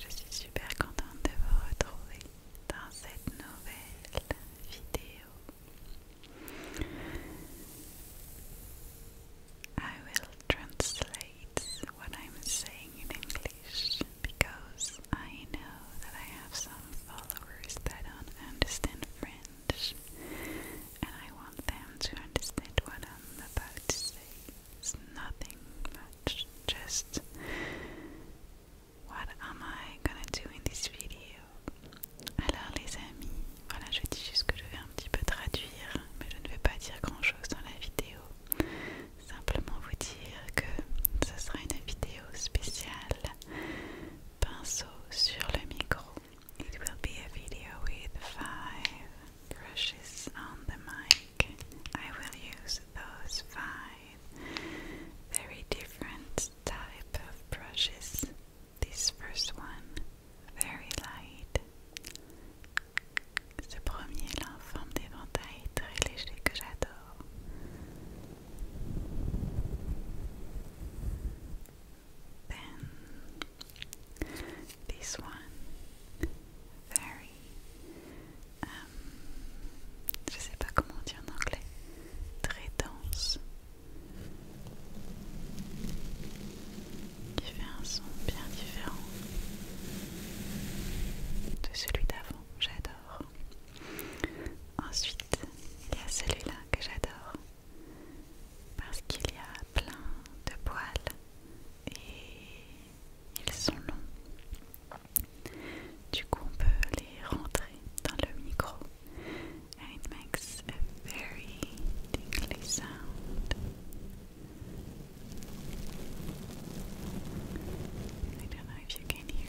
Je suis super contente de vous retrouver dans cette nouvelle vidéo. I will translate what I'm saying in English because I know that I have some followers that don't understand French and I want them to understand what I'm about It's nothing much, just what am I gonna do in this video? Alors les amis, voilà je dis juste que je vais un petit peu traduire, mais je ne vais pas dire grand chose dans la vidéo. Simplement vous dire que ce sera une vidéo spéciale pinceau sur le micro. It will be a video with five brushes on the mic. I will use those five very different type of brushes. This first one, very light. This one, very, je um, je sais pas comment on en anglais, très dense, qui fait un son bien différent de celui d'avant, j'adore. Ensuite, il y a celui-là que j'adore parce qu'il y a plein de poils et ils sont longs. Du coup, on peut les rentrer dans le micro. And it makes a very tingly sound. I don't know if you can hear.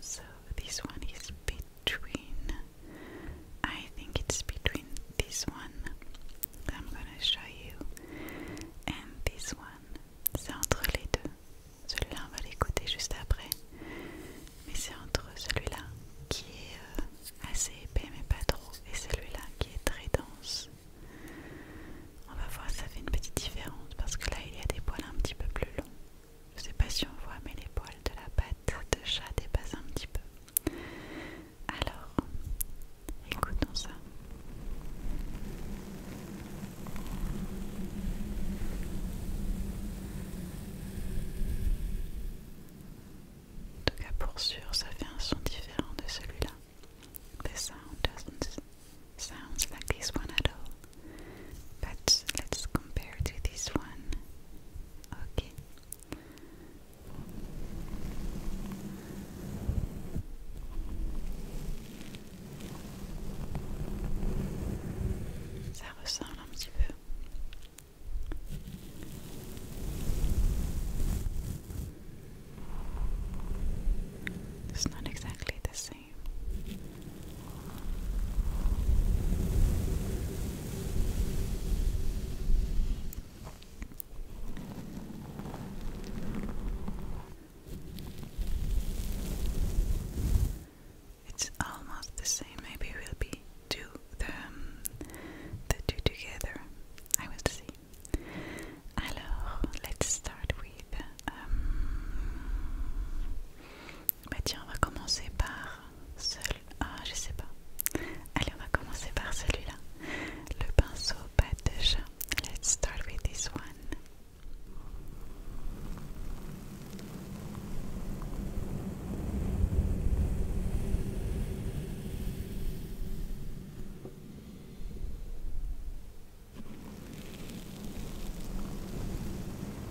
So this one is between, I think it's between this one I'm gonna show you and this one. C'est entre les deux. Celui-là, on va l'écouter juste après. Mais c'est entre celui-là qui est euh, assez épais mais pas trop et celui-là qui est très dense. On va voir, ça fait une petite différence parce que là, il y a des poils un petit peu plus longs. Je sais pas si on voit, mais les poils de la patte de chat dépassent un petit peu. Alors, écoutons ça. En tout cas, pour sûr, ça fait un son différent de celui-là. The sound doesn't sound like this one at all. But let's compare to this one. Okay. It's not exactly the same. It's almost the same. Maybe we'll be do the um, the two together. I will see. Alors, let's start with um, Bah tiens, on va commencer par celui... Ah, je sais pas. Allez, on va commencer par celui-là. Le pinceau pâte de chat. Let's start with this one.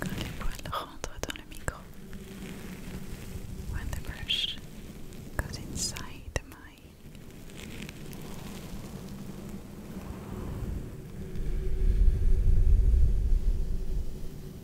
Quand les poils rentrent brush goes inside the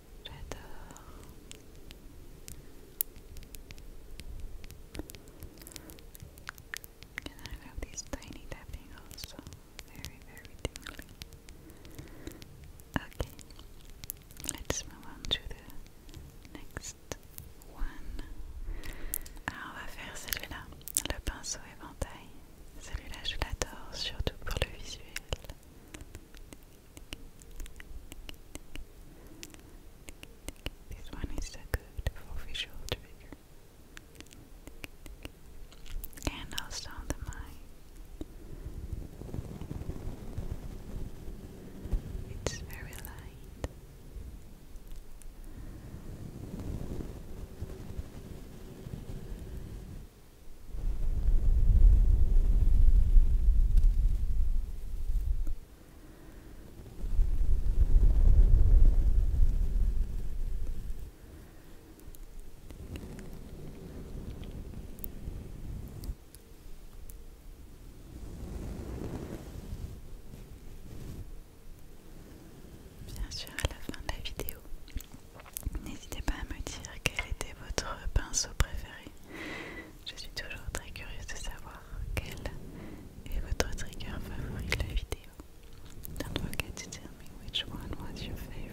J'adore. Et I j'ai these tiny tapping aussi très très tingly. Okay, let's move on to the next one. Alors ah, on va faire celui-là, le pinceau éventail. Celui-là je l'adore, surtout pour le visuel. This one is so good for visual trigger. And also the mic. It's very light. Bien sûr, à la fin de la vidéo, n'hésitez pas à me dire quel était votre pinceau préféré. Je suis toujours très curieuse de savoir quel est votre trigger favori de la vidéo. Don't forget to tell me which one was your favorite.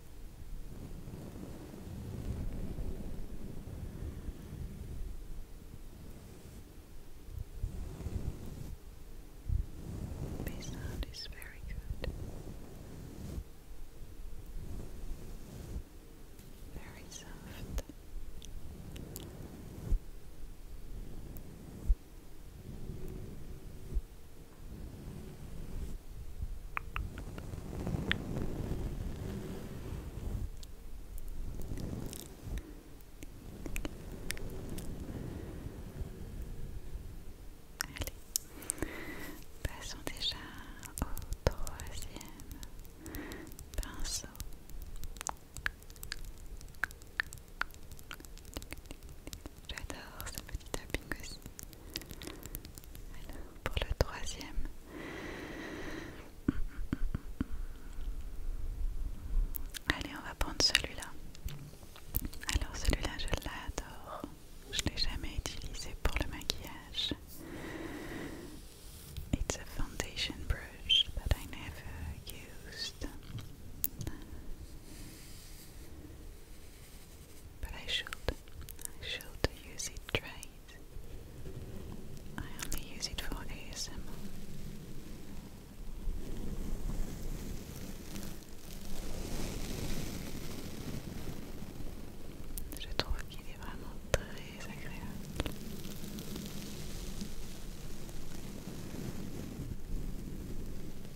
This sound is very good, very soft. Allez, passons déjà au troisième pinceau. J'adore ce petit tapping aussi. Alors, pour le troisième, allez, on va prendre celui-là. Alors, celui-là, je l'adore. Je l'ai jamais utilisé pour le maquillage. It's a foundation brush that I never used. But I should. I should use it right. I only use it for ASMR. Je trouve qu'il est vraiment très agréable.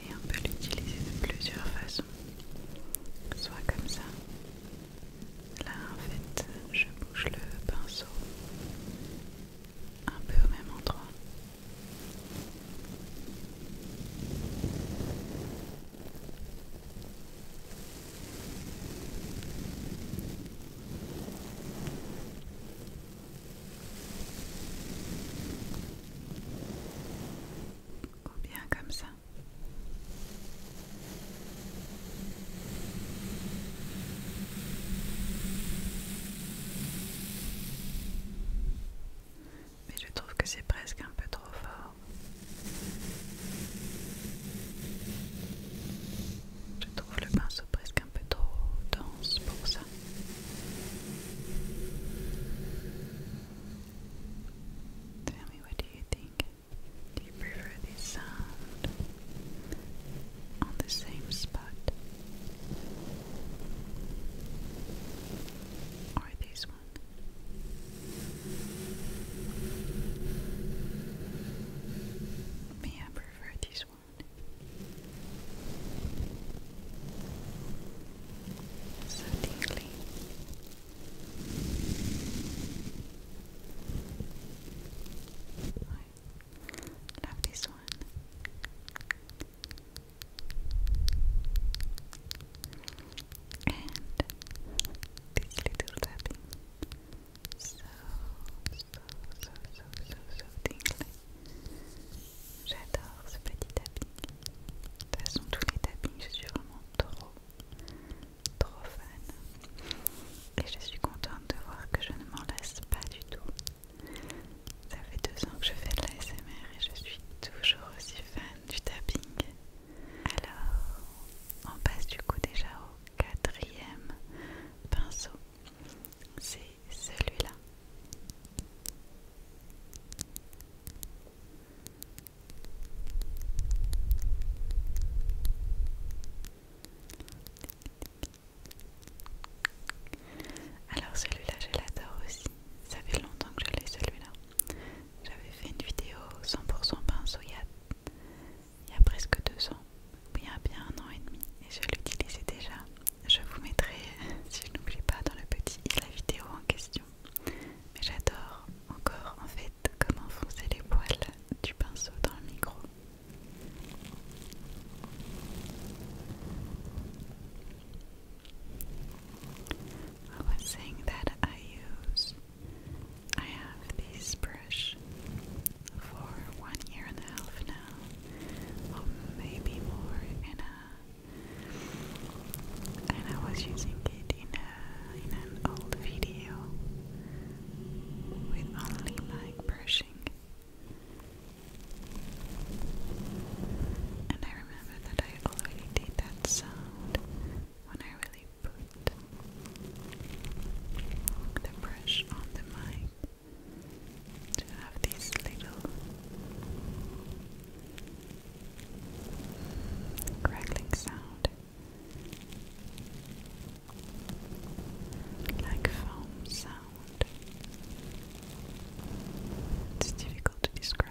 Et on peut l'utiliser de plusieurs façons. Soit comme ça. Là en fait je bouge le pinceau un peu au même endroit bien comme ça. Mais je trouve que c'est presque un peu trop fort. Je trouve le pinceau presque Tell me, what you think? Do you prefer this sound on the same spot? Or this one? Me, I prefer these ones? one. So tingly. I love this one. And this little tapping. So, so, so, so, so, so tingly. J'adore ce petit tapping. De toute façon, tous les tappings, je suis vraiment trop, trop fan. Et je suis contente de voir que je ne m'en lasse pas du tout. Ça fait deux ans que je fais de l'ASMR et je suis toujours aussi fan du tapping. Alors, on passe du coup déjà au quatrième pinceau c'est celui-là. Alors celui-là je l'adore aussi, ça fait longtemps que je l'ai celui-là. J'avais fait une vidéo 100% pinceau il y, a, il y a presque deux ans, il y a bien un an et demi, et je l'utilisais déjà. Je vous mettrai, si je n'oublie pas, dans le petit la vidéo en question. Mais j'adore encore en fait comment foncer les poils du pinceau dans le micro. a, or maybe more and I was using it in an old video with only like brushing. And I remember that I already did that sound when I really put the brush on the mic to have these little crackling sound like foam sound it's difficult to describe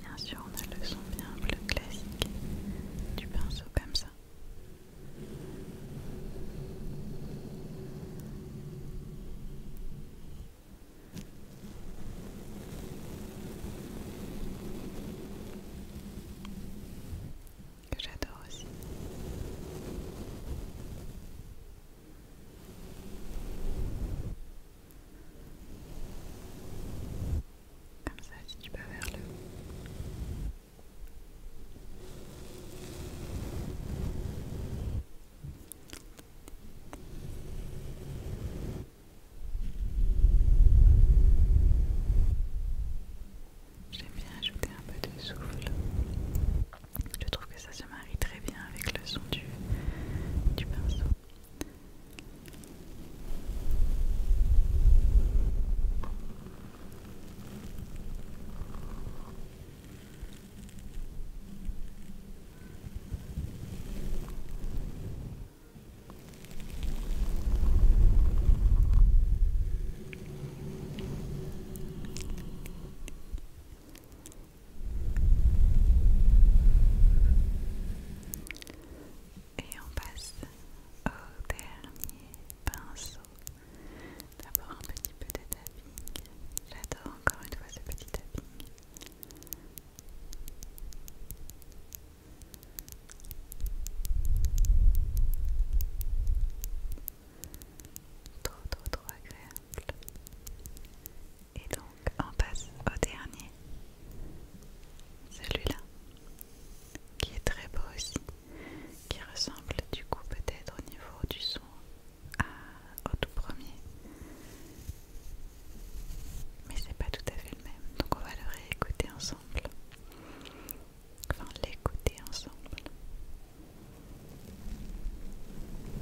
bien sûr, on a le son bien bleu classique du pinceau comme ça. Que j'adore aussi. Comme ça, si tu peux, vers le haut J'aime bien ajouter un peu de souffle ça se marie très bien avec le son du, du pinceau. Et on passe au dernier pinceau. D'abord un petit peu de tapping. J'adore encore une fois ce petit tapping. Trop trop trop agréable. Et donc on passe au dernier, celui-là, qui est très beau aussi, qui ressemble du coup peut-être au niveau du son au tout premier. Mais c'est pas tout à fait le même, donc on va le réécouter ensemble. Enfin l'écouter ensemble.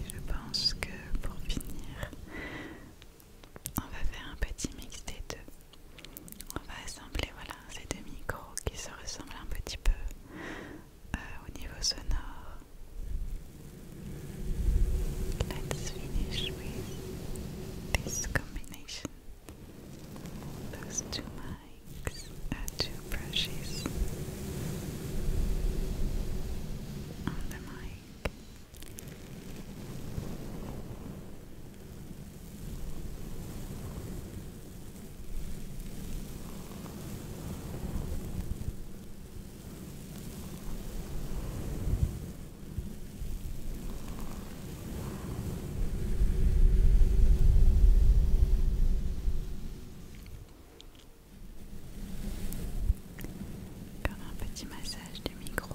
Et je pense que pour finir, on va faire un petit mix des deux. On va assembler voilà, ces deux micros qui se ressemblent un petit peu euh, au niveau sonore. Let's finish with this combination. Those two mics, uh, two brushes on the mic. Comme un petit massage du micro.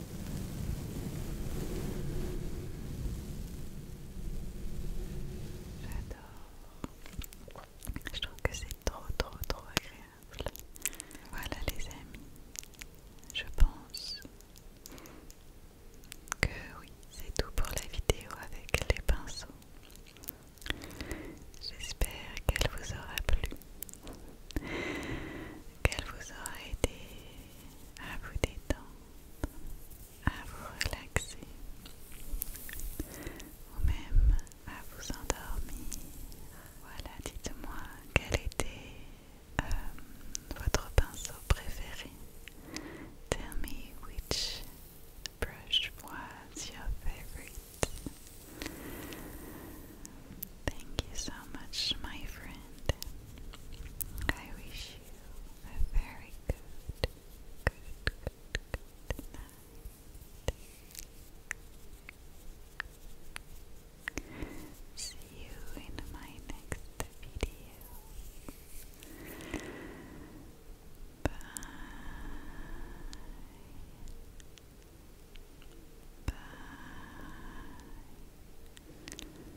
J'adore. Je trouve que c'est trop trop trop agréable. Voilà les amis. Je pense que oui, c'est tout pour la vidéo avec les pinceaux. J'espère qu'elle vous aura plu, qu'elle vous aura aidé à vous détendre, à vous relaxer ou même à vous endormir. Voilà, dites-moi quel était euh, votre pinceau préféré. Tell me which brush was your favorite. Thank you so much, my friend. Brandon. I wish you a very good, good, good, good night. See you in my next video. Bye. Bye.